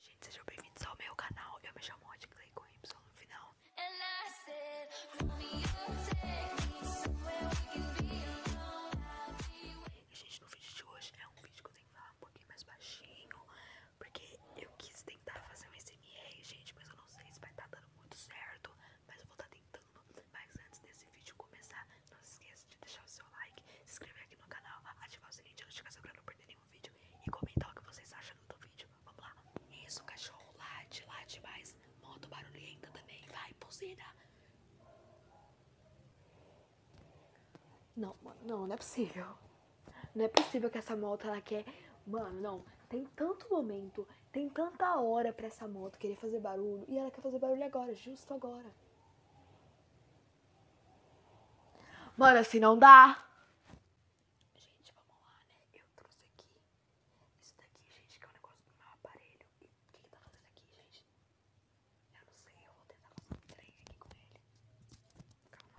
Gente, sejam bem-vindos ao meu canal. Eu me chamo Rod Clay com Y no final. E, gente, no vídeo de hoje é um vídeo que eu tenho que falar um pouquinho mais baixinho. Porque eu quis tentar fazer um SMR, gente, mas eu não sei se vai estar tá dando muito certo. Mas eu vou estar tá tentando. Mas antes desse vídeo começar, não se esqueça de deixar o seu like, se inscrever aqui no canal, ativar o sininho de notificação pra não perder nenhum vídeo e comentar o que vocês acham do vídeo. Vamos lá. Isso, cachorro. Late, late mais. Moto barulhenta também. Vai, buzina. Não, não, não é possível. Não é possível que essa moto ela quer. Mano, não. Tem tanto momento, tem tanta hora pra essa moto querer fazer barulho. E ela quer fazer barulho agora, justo agora. Mano, assim não dá. Gente, vamos lá, né? Eu trouxe aqui. Isso daqui, gente, que é um negócio do meu aparelho. o que, que tá fazendo aqui, gente? Eu não sei, eu vou tentar fazer um trem aqui com ele. Calma.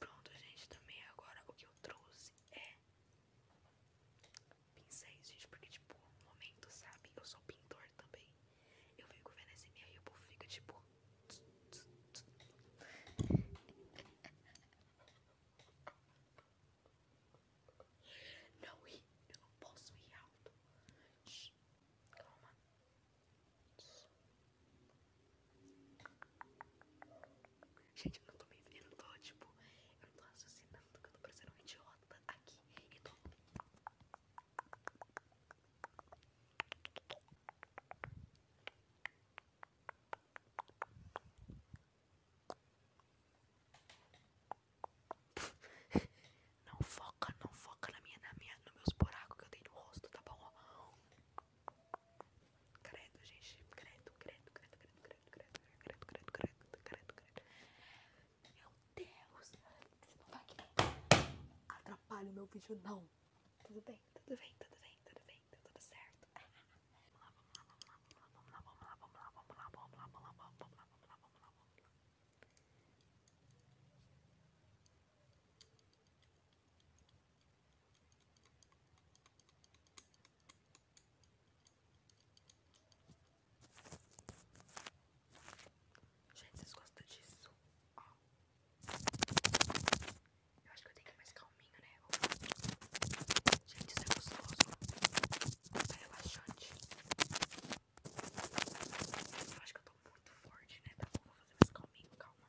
Pronto, gente, também agora o que eu trouxe é pincéis, gente, porque tipo, no momento, sabe, eu sou pintor também. Eu venho vendo esse minha e o povo fica tipo. Não ri, eu não posso rir alto. calma. Gente, eu não tô me eu não tô, tipo, eu não tô raciocinando que eu tô parecendo um idiota aqui e tô. Não foca, não foca na minha, na minha, nos meus buracos que eu tenho no rosto, tá bom? Ó. Credo, gente. Credo, credo, credo, credo, credo, credo, credo, credo, credo, credo, credo. Meu Deus. Você não vai querer atrapalha o meu vídeo, não. Tudo bem, tudo bem, tudo bem, tudo bem, tá tudo certo. Vamos lá, vamos lá, vamos lá, vamos lá, vamos lá, vamos lá, vamos lá, vamos lá, vamos lá, vamos lá, vamos lá. Gente, vocês gostam disso? Ó. Eu acho que eu tenho que ir mais calminho, né? Gente, isso é gostoso. É relaxante. Eu acho que eu tô muito forte, né? Tá bom, vou fazer mais calminho, calma.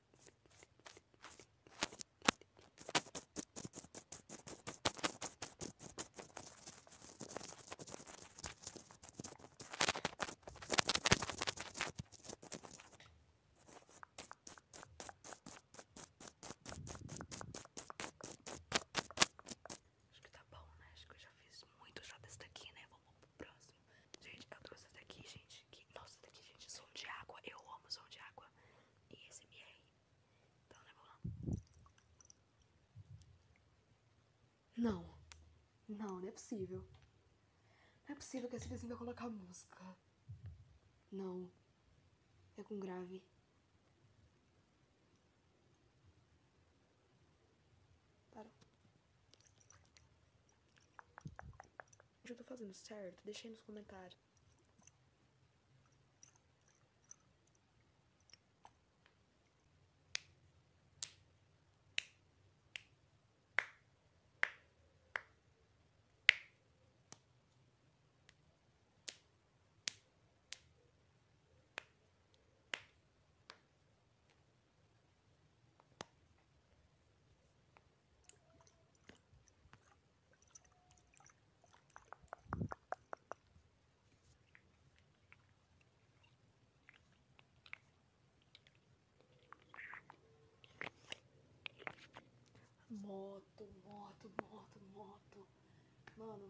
Acho que tá bom, né? Acho que eu já fiz muito já desse daqui, né? próximo. Gente, eu trouxe essa daqui, gente. Que, nossa, daqui, gente, som de água. Eu amo som de água. E SMR. Então, né, vamos lá. Não. Não, não é possível. Não é possível que esse desenho vai colocar música. Não. É com grave. Parou. Gente, eu fazendo certo? deixei nos comentários. Moto, moto, moto, moto. Mano.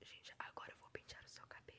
Gente, agora eu vou pintar o seu cabelo.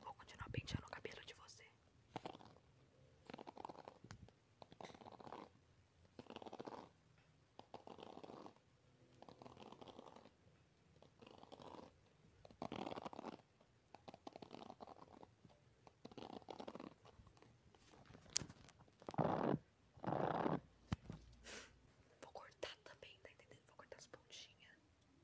Vou continuar penteando o cabelo de você. Vou cortar também, tá entendendo? Vou cortar as pontinhas.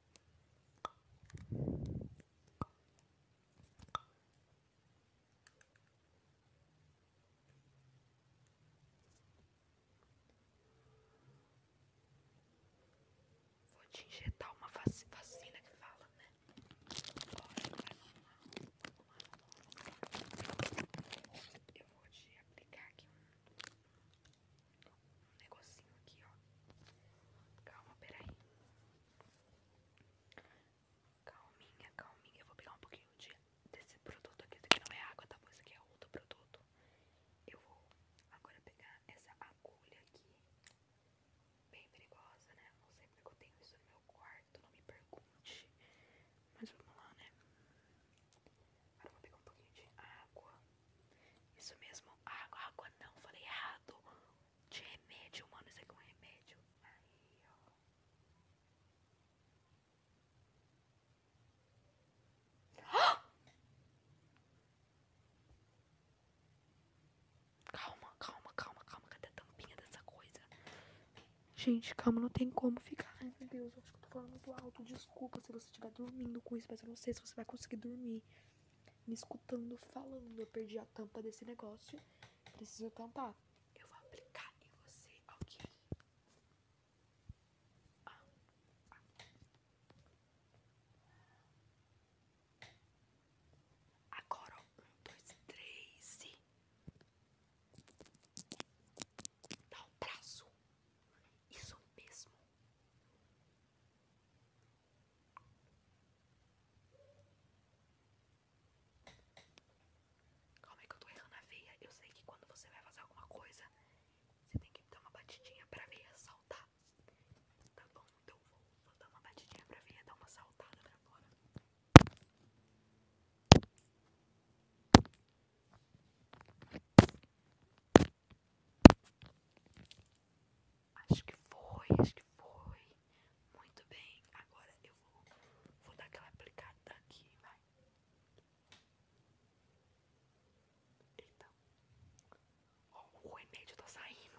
Vou te injetar uma vacina que fala, né? Eu vou te aplicar aqui um um negocinho aqui, ó. Calma, peraí. Calminha, calminha. Eu vou pegar um pouquinho de, desse produto aqui. Esse não é água, tá bom? Esse aqui é outro produto. Eu vou agora pegar essa agulha aqui. Bem perigosa, né? Não sei porque eu tenho isso no meu quarto. Não me pergunte. Mas vamos lá, né? Agora eu vou pegar um pouquinho de água. Isso mesmo, água, água não, falei errado. De remédio, mano, isso aqui é um remédio. Aí, ó. Calma, calma, calma, calma. Cadê a tampinha dessa coisa? Gente, calma, não tem como ficar. Ai, meu Deus, eu acho que eu tô falando muito alto. Desculpa desculpa se você estiver dormindo com isso, mas eu não sei se você vai conseguir dormir me escutando, falando. Eu perdi a tampa desse negócio, preciso tampar. Eu vou aplicar em você, ok? Ah. Agora, um, dois, três e... Dá um prazo. Isso mesmo. Calma aí que eu tô errando a veia. Eu sei que quando você vai fazer alguma coisa, você tem que dar uma batidinha pra veia saltar. Tá bom, então vou, vou dar uma batidinha pra veia dar uma saltada pra fora. Acho que foi, acho que foi. Muito bem, agora eu vou, dar aquela aplicada aqui, vai. Então, o remédio tá saindo.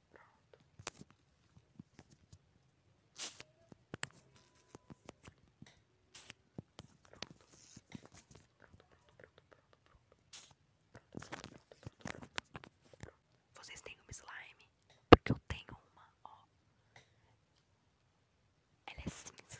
Pronto. Pronto. Pronto, pronto, pronto, pronto, pronto. Pronto, pronto, pronto, pronto, pronto. Vocês têm uma slime? Porque eu tenho uma, ó. Ela é cinza.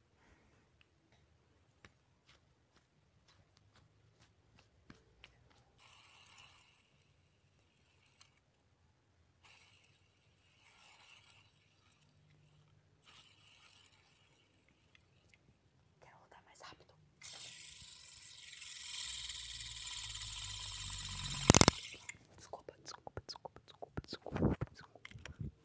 Quero rodar mais rápido. Desculpa, desculpa, desculpa, desculpa, desculpa, desculpa.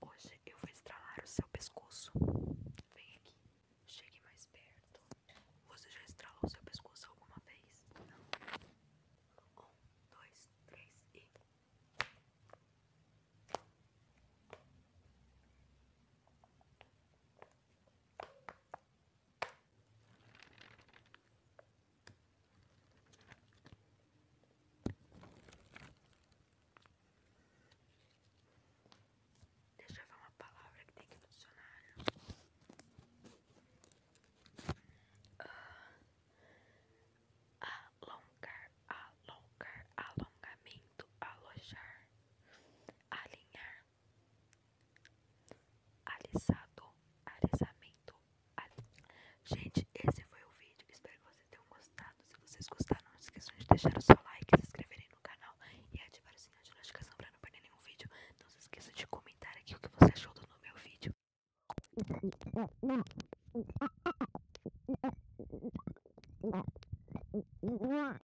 Hoje eu vou estralar o seu pescoço. Vem aqui, chegue mais perto. Você já estralou o seu pescoço alguma vez? Não. Um, dois, três e. Deixa eu ver uma palavra que tem que funcionar. Né? Ah, alongar, alongar, alongamento, alojar, alinhar, Alisado, alisamento. Gente, esse foi o vídeo. Espero que vocês tenham gostado. Se vocês gostaram, não esqueçam de deixar o seu like, se inscreverem no canal e ativar o sininho de notificação para não perder nenhum vídeo. Não se esqueça de comentar aqui o que você achou do meu vídeo.